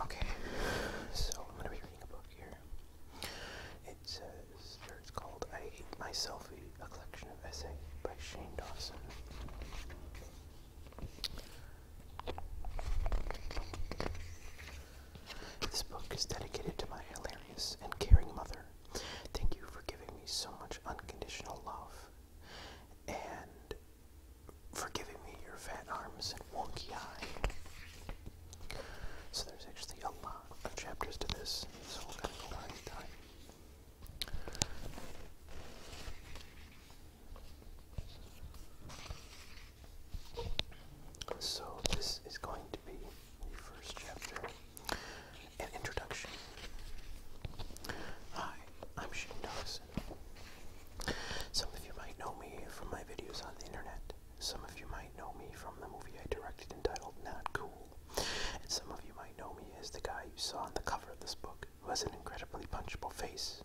Okay, so I'm going to be reading a book here. It says, or it's called I Hate My Selfie, a collection of essays by Shane Dawson. This book is dedicated to my hilarious and caring mother. Thank you for giving me so much unconditional love. And for giving me your fat arms and wonky eye. So there's actually a lot of chapters to this, so we're go right at time. So this is going to be the first chapter, an introduction. Hi, I'm Shane some of you might know me from my videos on the internet. Some of you might know me from the movie I directed entitled Not Cool. And some of you might know me as the guy you saw on the cover of this book, who has an incredibly punchable face.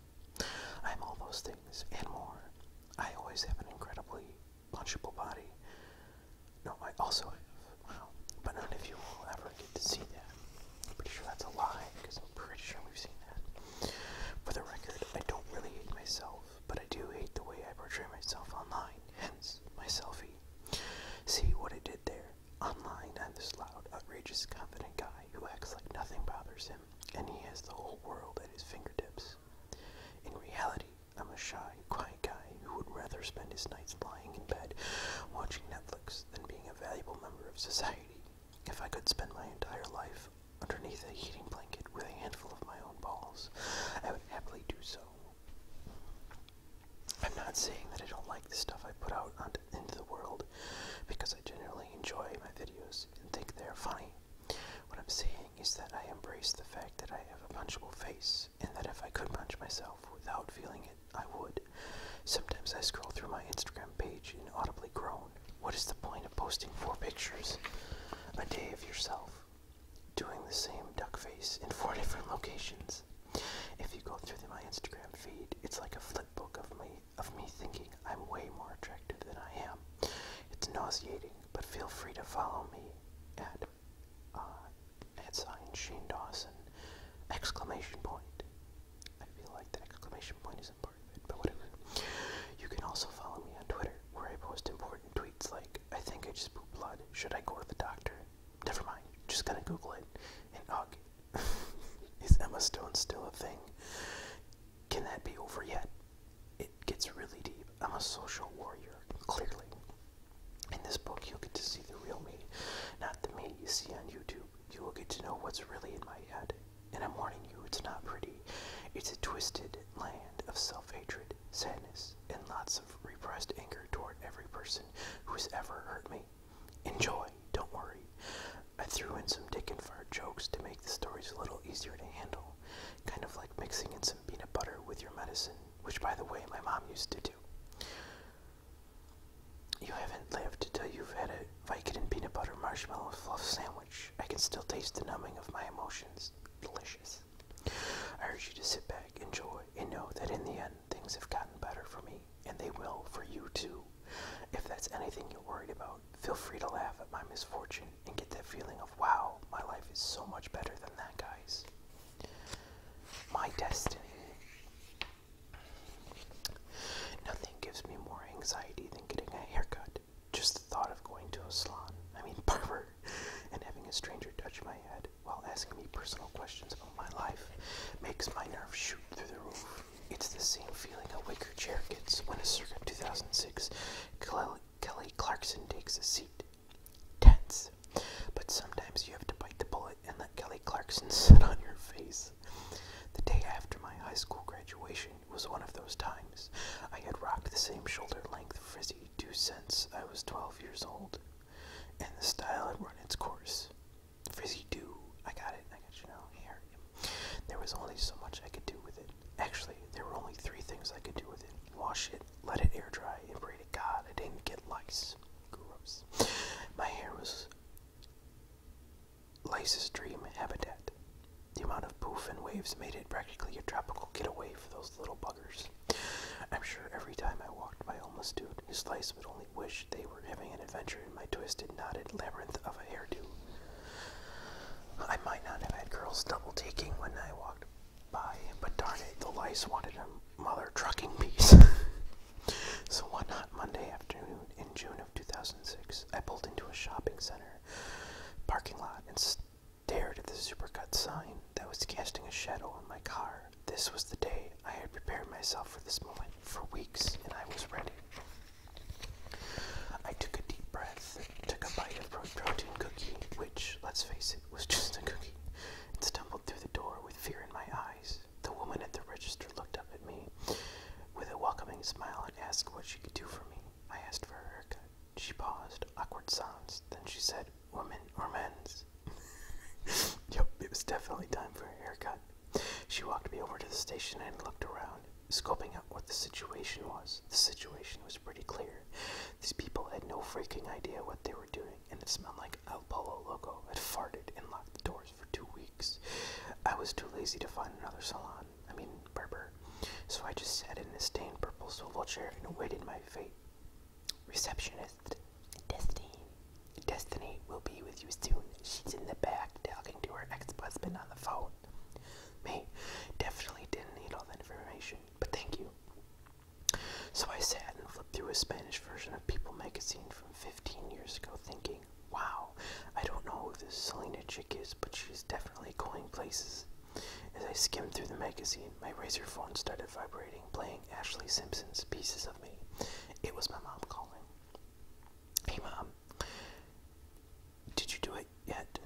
I'm all those things and more. I always have an incredibly punchable body. No, I also have. Wow. But none of you will ever get to see that. I'm pretty sure that's a lie, because pretty sure we've seen that. For the record, I don't really hate myself, but I do hate the way I portray myself online, hence my selfie. See what I did there? Online, I'm this loud, outrageous, confident guy who acts like nothing bothers him, and he has the whole world at his fingertips. In reality, I'm a shy, quiet guy who would rather spend his nights lying in bed watching Netflix than being a valuable member of society. If I could spend my entire life underneath a heating blanket with a handful of my own balls, I would happily do so. I'm not saying that I don't like the stuff I put out into the world, because I generally enjoy my videos and think they're funny. What I'm saying is that I embrace the fact that I have a punchable face, and that if I could punch myself without feeling it, I would. Sometimes I scroll through my Instagram page and audibly groan. What is the point of posting four pictures a day of yourself doing the same duck face in four different locations? If you go through my Instagram feed, it's like a flip book of me of me thinking I'm way more attractive than I am. It's nauseating, but feel free to follow me at uh, at sign Shane Dawson exclamation point. I feel like the exclamation point is you can also follow me on Twitter, where I post important tweets like, I think I just pooped blood, should I go to the doctor? Never mind, just gonna Google it. And ugh, is Emma Stone still a thing? Can that be over yet? It gets really deep. I'm a social warrior, clearly. In this book, you'll get to see the real me, not the me you see on YouTube. You will get to know what's really in my head. And I'm warning you, it's not pretty. It's a twisted land of self hatred, sadness, and lots of repressed anger toward every person who has ever hurt me. Enjoy, don't worry. I threw in some dick and fart jokes to make the stories a little easier to handle, kind of like mixing in some peanut butter with your medicine, which, by the way, my mom used to do. You haven't lived till you've had a Vicodin peanut butter marshmallow fluff sandwich. I can still taste the numbing of my emotions. Delicious. I urge you to sit back, enjoy, and know that in the end, things have gotten better for me, and they will for you too. If that's anything you're worried about, feel free to laugh at my misfortune and get that feeling of, wow, my life is so much better than that guy's. My destiny. Nothing gives me more anxiety than getting a haircut. Just the thought of going to a salon, I mean barber, and having a stranger touch my head while asking me personal questions about my life makes my nerves shoot through the roof. It's the same feeling a wicker chair gets when a circa 2006 Kelly Clarkson takes a seat. Tense. But sometimes you have to bite the bullet and let Kelly Clarkson sit on your face. The day after my high school graduation, was one of those times. I had rocked the same shoulder length frizzy do since I was 12 years old, and the style had run its course. Frizzy do, I got it, I got you now, here. There was only so much I could do with it. Actually, there were only three things I could do with it wash it, let it air dry, and pray to God I didn't get lice. Gross. My hair was Lysis' dream habitat. The amount of poof and waves made it practically a tropical getaway for those little buggers. I'm sure every time I walked by homeless dude, his lice would only wish they were having an adventure in my twisted, knotted labyrinth of a hairdo. I might not have had girls double taking when I walked by, but darn it, the lice wanted a mother trucking piece. so one hot Monday afternoon in June of 2006, I pulled into a shopping center parking lot and stared at the supercut sign that was casting a shadow on my car. This was the day I had prepared myself for this moment for weeks, and I was ready. I took a deep breath, took a bite of a protein cookie, which, let's face it, was just a cookie, and stumbled through the door with fear in my eyes. The woman at the register looked up at me with a welcoming smile and asked what she could do for me. I asked for a haircut. She paused, awkward silence. Then she said, Women or men's? yep, it was definitely time for a haircut. She walked me over to the station and looked around, scoping out what the situation was. The situation was pretty clear. These people had no freaking idea what they were doing, and it smelled like El Polo Loco had farted and locked the doors for two weeks. I was too lazy to find another salon. I mean Berber. So I just sat in a stained purple swivel chair and awaited my fate. Receptionist, Destiny, Destiny will be with you soon. She's in the back talking to her ex-husband on the phone. Me, definitely didn't need all that information, but thank you. So I sat and flipped through a Spanish version of People magazine from 15 years ago, thinking, wow, I don't know who this Celine minded chick is, but she's definitely going places. As I skimmed through the magazine, my razor phone started vibrating, playing Ashley Simpson's Pieces of Me. It was my mom calling. Hey, mom. Did you do it yet?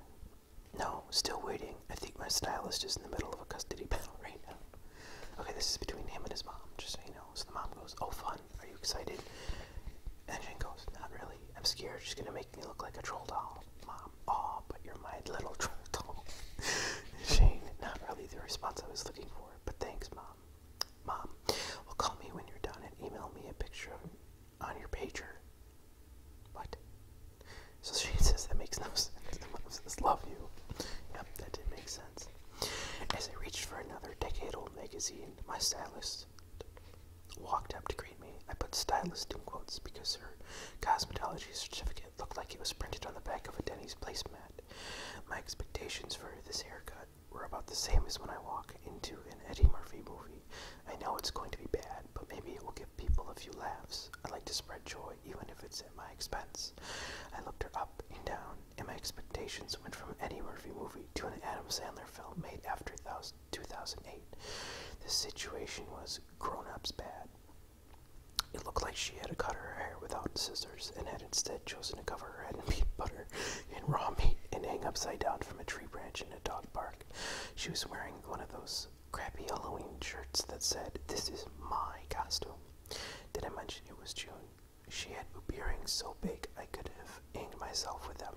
No, still waiting. I think my stylist is in the middle of a custody battle right now. Okay, this is between him and his mom, just so you know. So the mom goes, Oh, fun. Are you excited? And Jen goes, Not really. I'm scared. She's going to make me look like a troll doll. Mom, aw, but you're my little turtle, Shane, not really the response I was looking for, but thanks, Mom. Mom, well, call me when you're done and email me a picture on your pager. What? So Shane says that makes no sense. Mom love you. Yep, that did make sense. As I reached for another decade old magazine, my stylist walked up to greet me. I put stylist in quotes because her cosmetology certificate looked like it was printed on the back of a Denny's placemat. My expectations for this haircut were about the same as when I walk into an Eddie Murphy movie. I know it's going to be bad, but maybe it will give people a few laughs. I like to spread joy even if it's at my expense. I looked her up and down, and my expectations went from Eddie Murphy movie to an Adam Sandler film made after two thousand. 2008. The situation was grown ups bad. It looked like she had cut her hair without scissors and had instead chosen to cover her head in peanut butter and raw meat and hang upside down from a tree branch in a dog park. She was wearing one of those crappy Halloween shirts that said, This is my costume. Did I mention it was June? She had hoop earrings so big I could have hanged myself with them,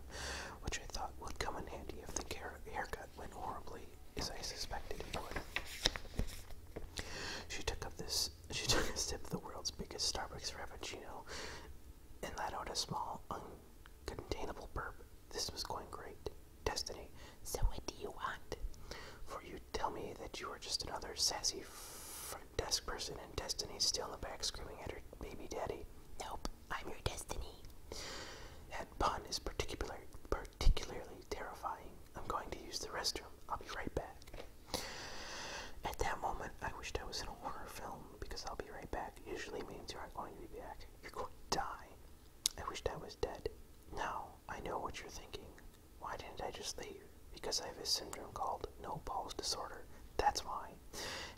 which I thought would come in handy if the haircut went horribly, as I suspected it would. She took up this she took a sip of the world's biggest Starbucks Frappuccino and let out a small, uncontainable burp. This was going great. Destiny, so what do you want? For you tell me that you are just another sassy front desk person and Destiny's still in the back screaming at her baby daddy. Nope, I'm your destiny. That pun is particular, particularly terrifying. I'm going to use the restroom. I'll be right back. At that moment, I wished I was in a horror film because I'll be right back usually means you aren't going to be back. You're going to die. I wish I was dead. Now, I know what you're thinking. Why didn't I just leave? Because I have a syndrome called no balls disorder. That's why.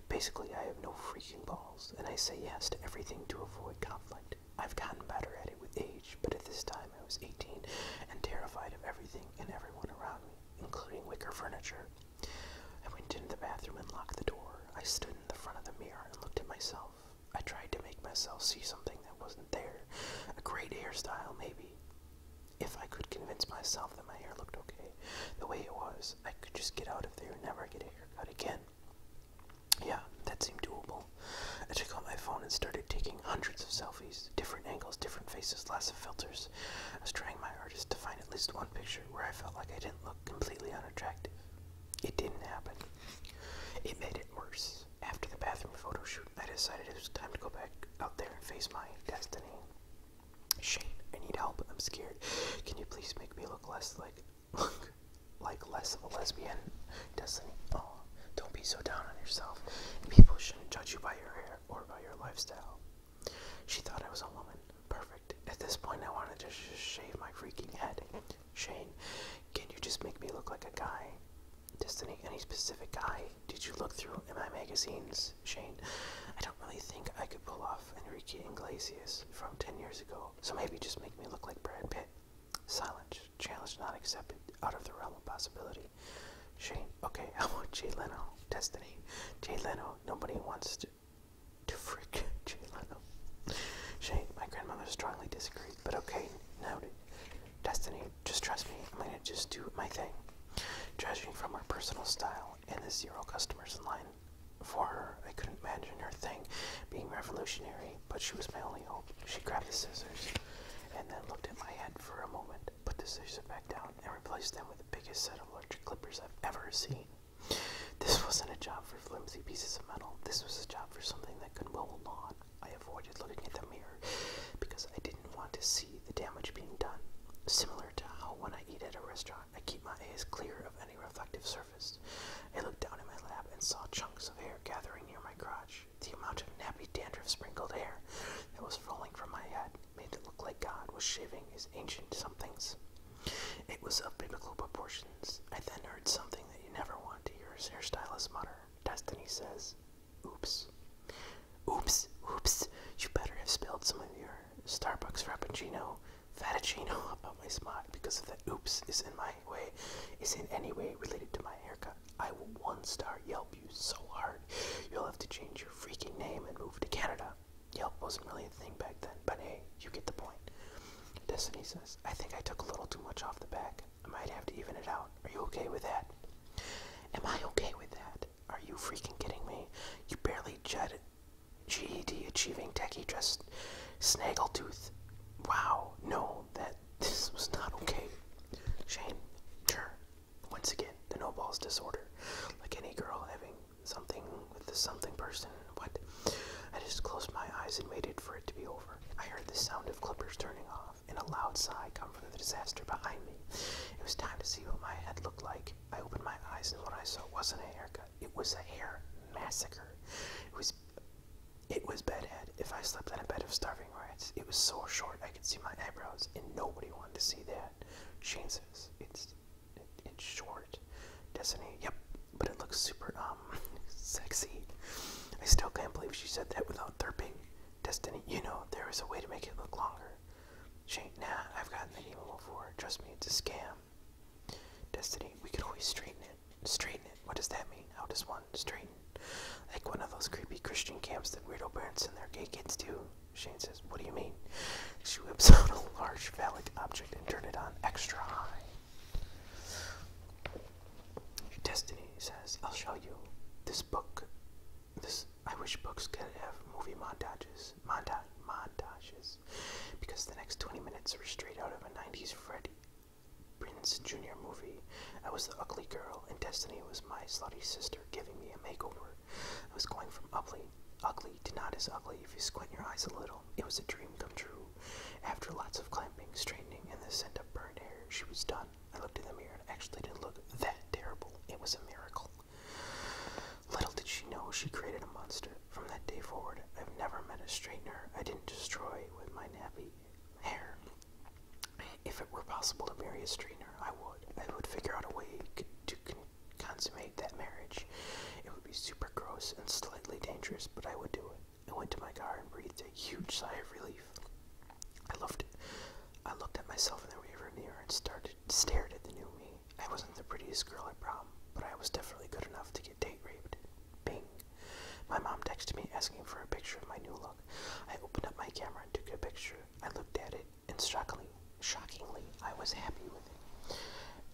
Basically, I have no freaking balls and I say yes to everything to avoid conflict. I've gotten better at it with age, but at this time I was 18 and terrified of everything and everyone around me, including wicker furniture. I went into the bathroom and locked the door. I stood in the front of the mirror and looked at myself. I tried to make myself see something that wasn't there. A great hairstyle, maybe. If I could convince myself that my hair looked okay, the way it was, I could just get out of there and never get a haircut again. Yeah, that seemed doable. I took out my phone and started taking hundreds of selfies, different angles, different faces, lots of filters. I was trying my hardest to find at least one picture where I felt like I didn't look completely unattractive. It didn't happen. It made it worse. After the bathroom photo shoot, I decided it was time to go back out there and face my destiny. Shane, I need help. I'm scared. Can you please make me look less like like less of a lesbian. Destiny. oh, don't be so down on yourself. People shouldn't judge you by your hair or by your lifestyle. She thought I was a woman. Perfect. At this point, I wanted to just shave my freaking head. Shane, can you just make me look like a guy? Destiny, any specific guy? Did you look through my magazines, Shane? I don't really think I could pull off Enrique Iglesias from 10 years ago so maybe just make me look like Brad Pitt. Silence. Challenge not accepted. Out of the realm of possibility. Shane. Okay, how about Jay Leno? Destiny. Jay Leno. Nobody wants to to freak Jay Leno. Shane, my grandmother strongly disagreed, but okay, noted. Destiny, just trust me, I'm gonna just do my thing. Judging from our personal style and the zero customers in line, for her. I couldn't imagine her thing being revolutionary, but she was my only hope. She grabbed the scissors and then looked at my head for a moment, put the scissors back down, and replaced them with the biggest set of electric clippers I've ever seen. This wasn't a job for flimsy pieces of metal. This was a job for something that could hold a lawn. I avoided looking at the mirror because I didn't want to see the damage being done. Similar to how when I eat at a restaurant, I keep my eyes clear of any reflective surface I looked down in my lap and saw chunks of hair gathering near my crotch. The amount of nappy dandruff sprinkled hair that was falling from my head made it look like God was shaving his ancient somethings. It was of biblical proportions. I then heard something that you never want to hear his hairstylist mutter. Destiny says, Oops. Oops, oops, you better have spilled some of your Starbucks Frappuccino fettuccino about my spot because of that oops is in my way, is in any way related to my haircut. I will one star Yelp you so hard, you'll have to change your freaking name and move to Canada. Yelp wasn't really a thing back then, but hey, you get the point. Destiny says, I think I took a little too much off the back. I might have to even it out. Are you okay with that? Am I okay with that? Are you freaking kidding me? You barely GED achieving techie just snaggletooth Wow, no, that this was not okay. Shane, sure. Once again, the no balls disorder. Like any girl having something with the something person. What? I just closed my eyes and waited for it to be over. I heard the sound of clippers turning off and a loud sigh come from the disaster behind me. It was time to see what my head looked like. I opened my eyes and what I saw wasn't a haircut. It was a hair massacre. It was it was bedhead. If I slept on a bed of starving rats, it was so short I could see my eyebrows, and nobody wanted to see that. Shane says it's it's short. Destiny, yep, but it looks super um sexy. I still can't believe she said that without derping. Destiny, you know there is a way to make it look longer. Shane, nah, I've gotten the game before. Trust me, it's a scam. Destiny, we could always straighten it straighten it. What does that mean? How does one straighten? Like one of those creepy Christian camps that weirdo parents send their gay kids to. Shane says, What do you mean? She whips out a large phallic object and turns it on extra high. Destiny says, I'll show you. This book, this, I wish books could have movie montages, monta montages, because the next 20 minutes are straight out of a 90s Freddy, Prince Jr. movie. I was the ugly girl, and Destiny was my slutty sister giving me a makeover. I was going from ugly, ugly to not as ugly if you squint your eyes a little. It was a dream come true. After lots of clamping, straightening, and the scent of burned hair, she was done. I looked in the mirror and actually didn't look that terrible. It was a miracle. Little did she know she created a monster. From that day forward, I've never met a straightener I didn't destroy with my nappy hair. If it were possible to marry a straightener, I would. I would figure out a way to consummate that marriage. It would be super gross and slightly dangerous, but I would do it. I went to my car and breathed a huge sigh of relief. I loved it. I looked at myself in the rearview mirror and stared at the new me. I wasn't the prettiest girl at prom, but I was definitely good enough to get date raped. Bing. My mom texted me asking for a picture of my new look. I opened up my camera and took a picture. I looked at it, and shockingly, shockingly, I was happy with it.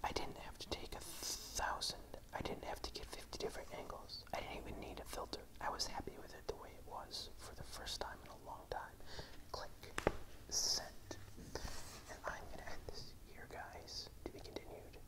I didn't have to take a thousand. I didn't have to get 50 different angles. I didn't even need a filter. I was happy with it the way it was for the first time in a long time. Click. Send. And I'm going to end this here, guys, to be continued.